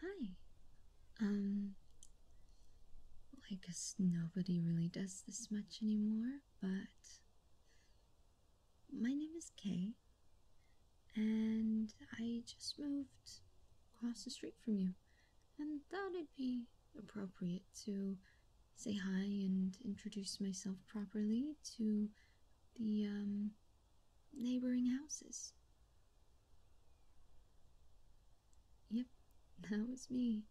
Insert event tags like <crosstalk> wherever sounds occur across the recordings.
Hi. Um, I guess nobody really does this much anymore, but my name is Kay, and I just moved across the street from you and thought it'd be appropriate to say hi and introduce myself properly to the um, neighboring houses. Yep, that was me.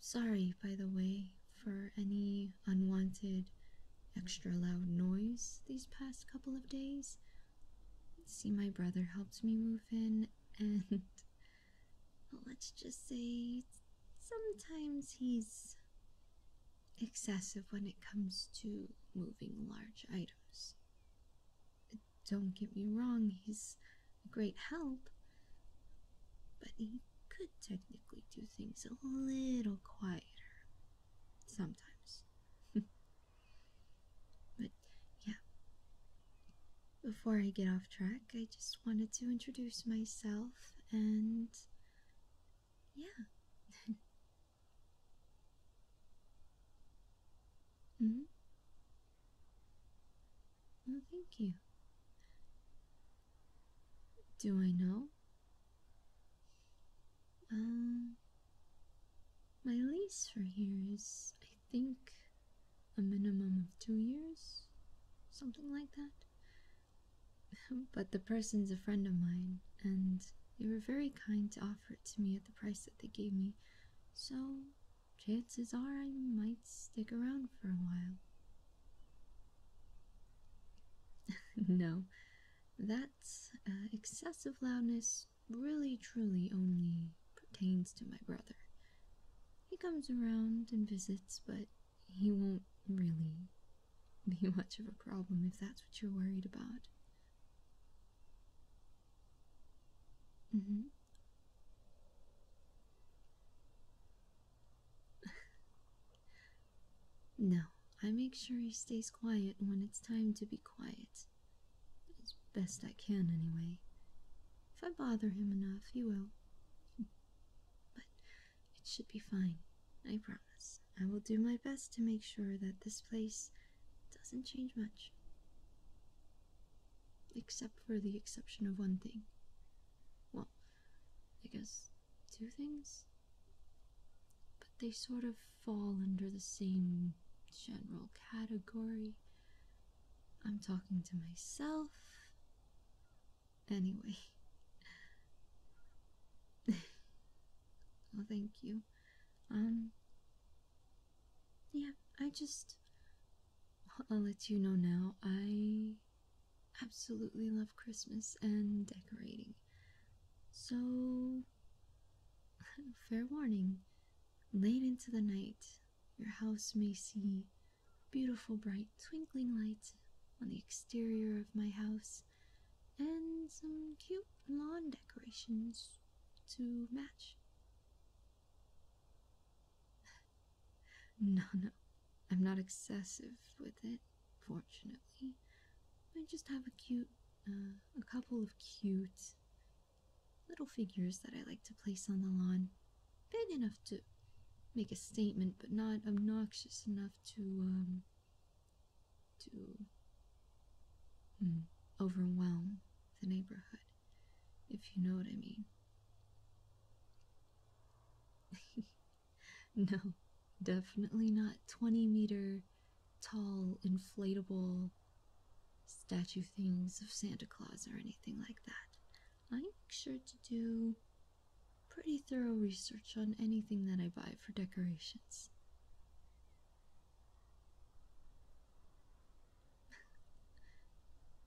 Sorry, by the way, for any unwanted extra loud noise these past couple of days. See, my brother helped me move and <laughs> let's just say sometimes he's excessive when it comes to moving large items. Don't get me wrong, he's a great help, but he could technically do things a little quieter sometimes. <laughs> But yeah. Before I get off track, I just wanted to introduce myself and. yeah. <laughs> -hmm. Well, thank you. Do I know? Um, my lease for here is, think a minimum of two years, something like that. <laughs> but the person's a friend of mine, and they were very kind to offer it to me at the price that they gave me, so chances are I might stick around for a while. <laughs> no, that's uh, excessive loudness really truly only pertains to my brother. He comes around and visits, but he won't really be <laughs> much of a problem if that's what you're worried about. Mm-hmm. <laughs> no, I make sure he stays quiet when it's time to be quiet. As best I can, anyway. If I bother him enough, he will. But it should be fine, I promise. I will do my best to make sure that this place doesn't change much. Except for the exception of one thing. Well, I guess two things? But they sort of fall under the same general category. I'm talking to myself. Anyway. well, <laughs> oh, thank you. Um, yeah, I just. I'll let you know now. I absolutely love Christmas and decorating. So, <laughs> Fair warning. Late into the night, your house may see beautiful, bright, twinkling lights on the exterior of my house and some cute lawn decorations to match. <laughs> No, no, I'm not excessive with it, fortunately. I just have a cute, uh, a couple of cute little figures that I like to place on the lawn, big enough to make a statement, but not obnoxious enough to um, to hmm, overwhelm the neighborhood, if you know what I mean. <laughs> no, definitely not 20 meter tall, inflatable statue things of Santa Claus or anything like that. I make sure to do pretty thorough research on anything that I buy for decorations.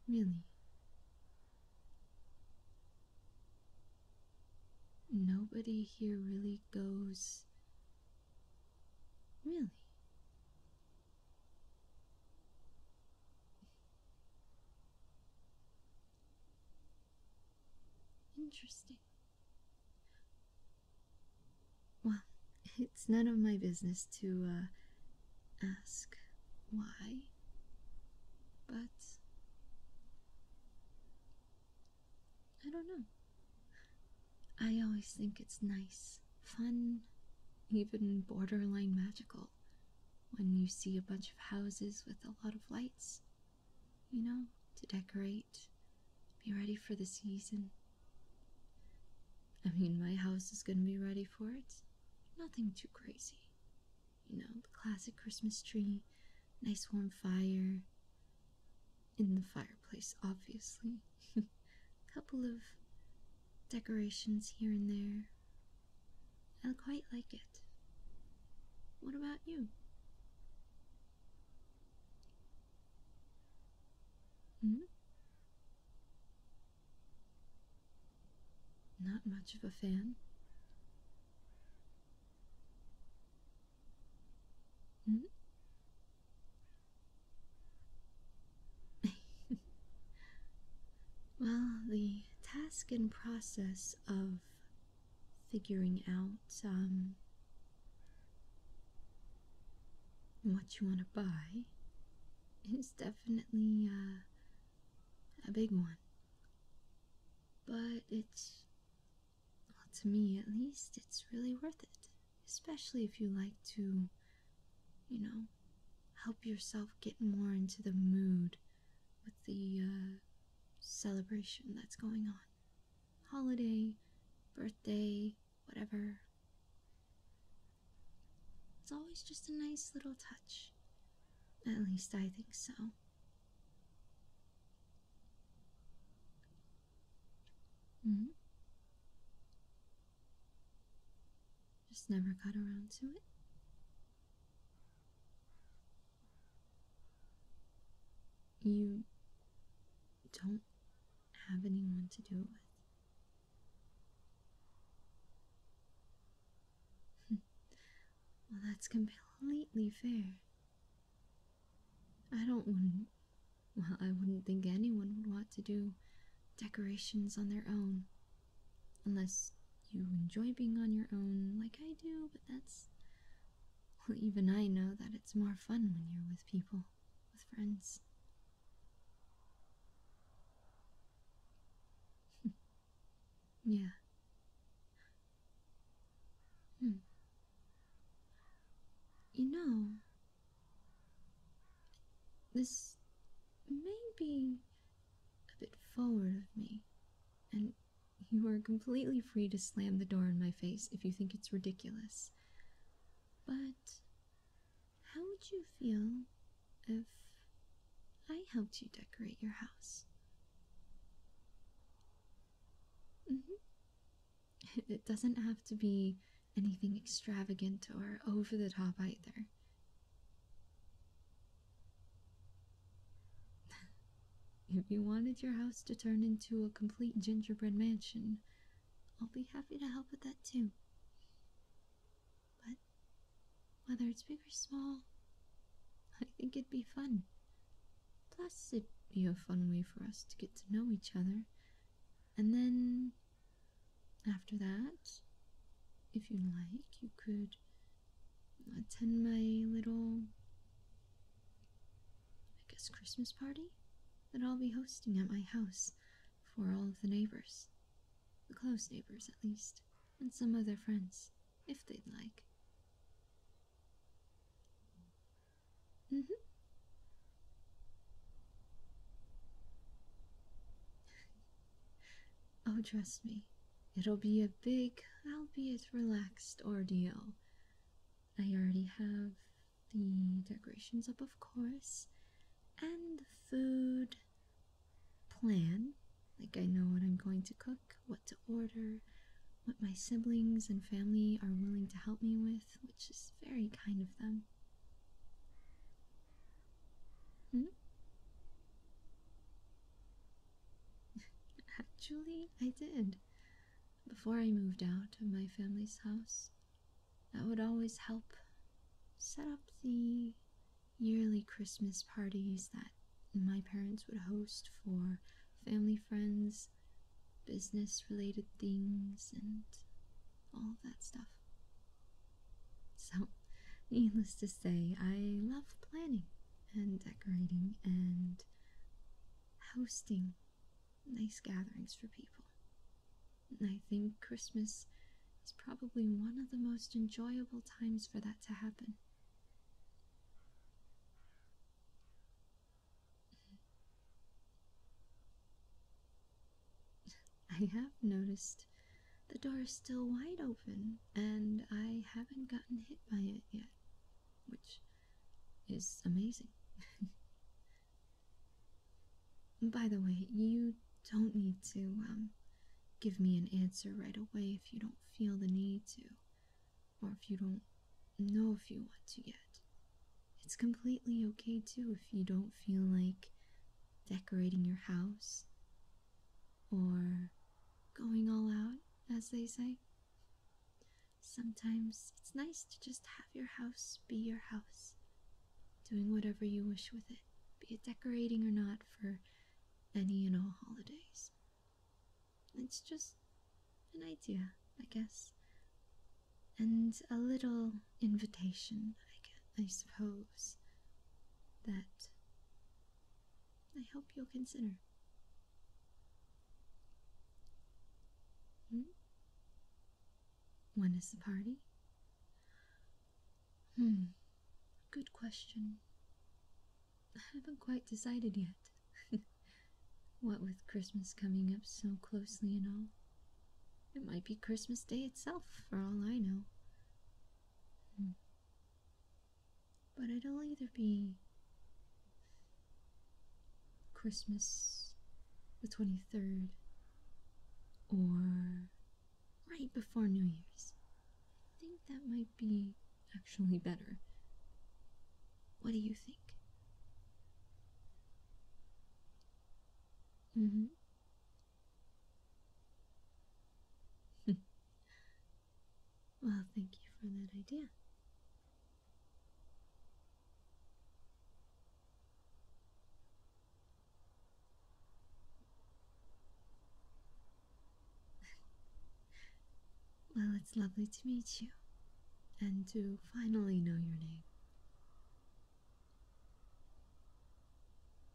<laughs> really? Nobody here really goes Really? Interesting. Well, it's none of my business to uh, ask why, but I don't know. I always think it's nice, fun, even borderline magical when you see a bunch of houses with a lot of lights, you know, to decorate, be ready for the season. I mean, my house is going to be ready for it. Nothing too crazy. You know, the classic Christmas tree, nice warm fire in the fireplace, obviously. A <laughs> couple of decorations here and there. I quite like it. What about you? Hmm? Not much of a fan. Mm? <laughs> well, the task and process of figuring out um, what you want to buy is definitely uh, a big one. But it's well, to me, at least, it's really worth it, especially if you like to, you know, help yourself get more into the mood with the uh, celebration that's going on. Holiday, birthday, whatever. It's always just a nice little touch. At least I think so down. Mm mm-hmm. Just never got around to it. You don't have anyone to do it with. <laughs> well, that's completely fair. I don't Well, I wouldn't think anyone would want to do decorations on their own. Unless you enjoy being on your own like I do, but that's. Well, even I know that it's more fun when you're with people, with friends. <laughs> Yeah. Hmm. You know, this may be a bit forward of me, and you are completely free to slam the door in my face if you think it's ridiculous. But how would you feel if I helped you decorate your house? Mm-hmm. <laughs> It doesn't have to be anything extravagant or over the top either. <laughs> if you wanted your house to turn into a complete gingerbread mansion, I'll be happy to help with that too. But whether it's big or small, I think it'd be fun. Plus, it'd be a fun way for us to get to know each other. And then, after that, if you like, you could attend my little, I guess, Christmas party that I'll be hosting at my house for all of the neighbors. The close neighbors, at least and some of their friends, if they'd like. Mm-hmm. <laughs> oh, trust me, it'll be a big, albeit relaxed ordeal. I already have the decorations up, of course, and the food plan. Like, I know what I'm going to cook what to order, what my siblings and family are willing to help me with, which is very kind of them. Hmm? <laughs> Actually, I did. Before I moved out of my family's house, that would always help set up the yearly Christmas parties that my parents would host for family, friends, business related things, and all that stuff. So, needless to say, I love planning and decorating and hosting nice gatherings for people. And I think Christmas is probably one of the most enjoyable times for that to happen. I have noticed the door is still wide open and I haven't gotten hit by it yet, which is amazing. <laughs> By the way, you don't need to um, Give me an answer right away if you don't feel the need to, or if you don't know if you want to yet. It's completely okay too if you don't feel like decorating your house or going all out, as they say. Sometimes it's nice to just have your house be your house, doing whatever you wish with it, be it decorating or not, for any and all holidays. It's just an idea, I guess, and a little invitation, I, guess, I suppose, that I hope you'll consider. Hmm? When is the party? Hmm, good question. I haven't quite decided yet. <laughs> what with Christmas coming up so closely and all. It might be Christmas Day itself, for all I know. Hmm. But it'll either be Christmas the 23rd or right before New Year's. I think that might be actually better. What do you think? Mm hmm. <laughs> well, thank you for that idea. <laughs> well, it's lovely to meet you and to finally know your name.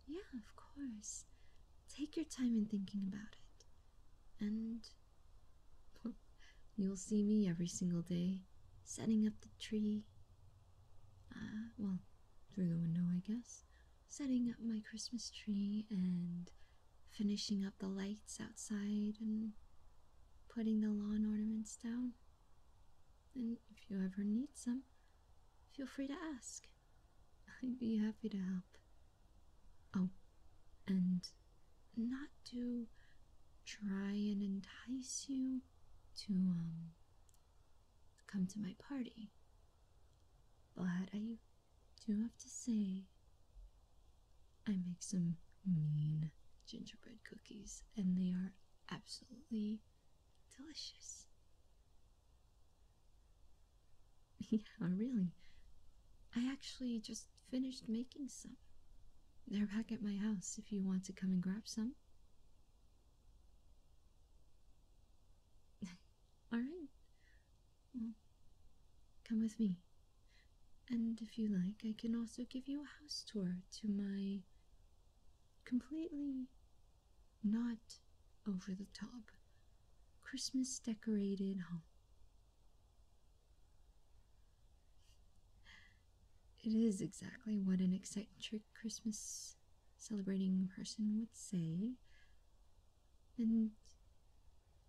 Yeah, of course. Take your time in thinking about it. And <laughs> you'll see me every single day setting up the tree. Ah, well, through the window, I guess setting up my Christmas tree and finishing up the lights outside and putting the lawn ornaments down. And if you ever need some, feel free to ask. I'd be happy to help. Oh, and not to try and entice you to um come to my party. But I do have to say, I make some mean gingerbread cookies, and they are absolutely delicious. <laughs> yeah, really. I actually just finished making some. They're back at my house if you want to come and grab some. <laughs> All right. Well, come with me. And if you like, I can also give you a house tour to my completely not over the top Christmas decorated home. It is exactly what an eccentric Christmas celebrating person would say. And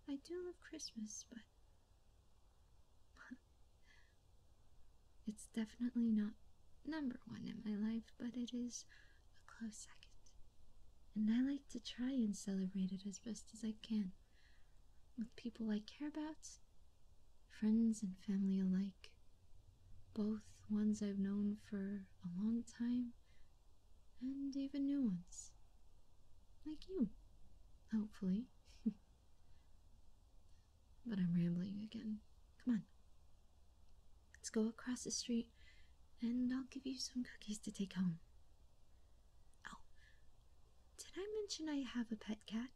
I do love Christmas, but <laughs> it's definitely not number one in my life, but it is a close second. And I like to try and celebrate it as best as I can with people I care about, friends and family alike both ones I've known for a long time and even new ones. Like you, hopefully. <laughs> but I'm rambling again. Come on. Let's go across the street and I'll give you some cookies to take home. Oh, did I mention I have a pet cat?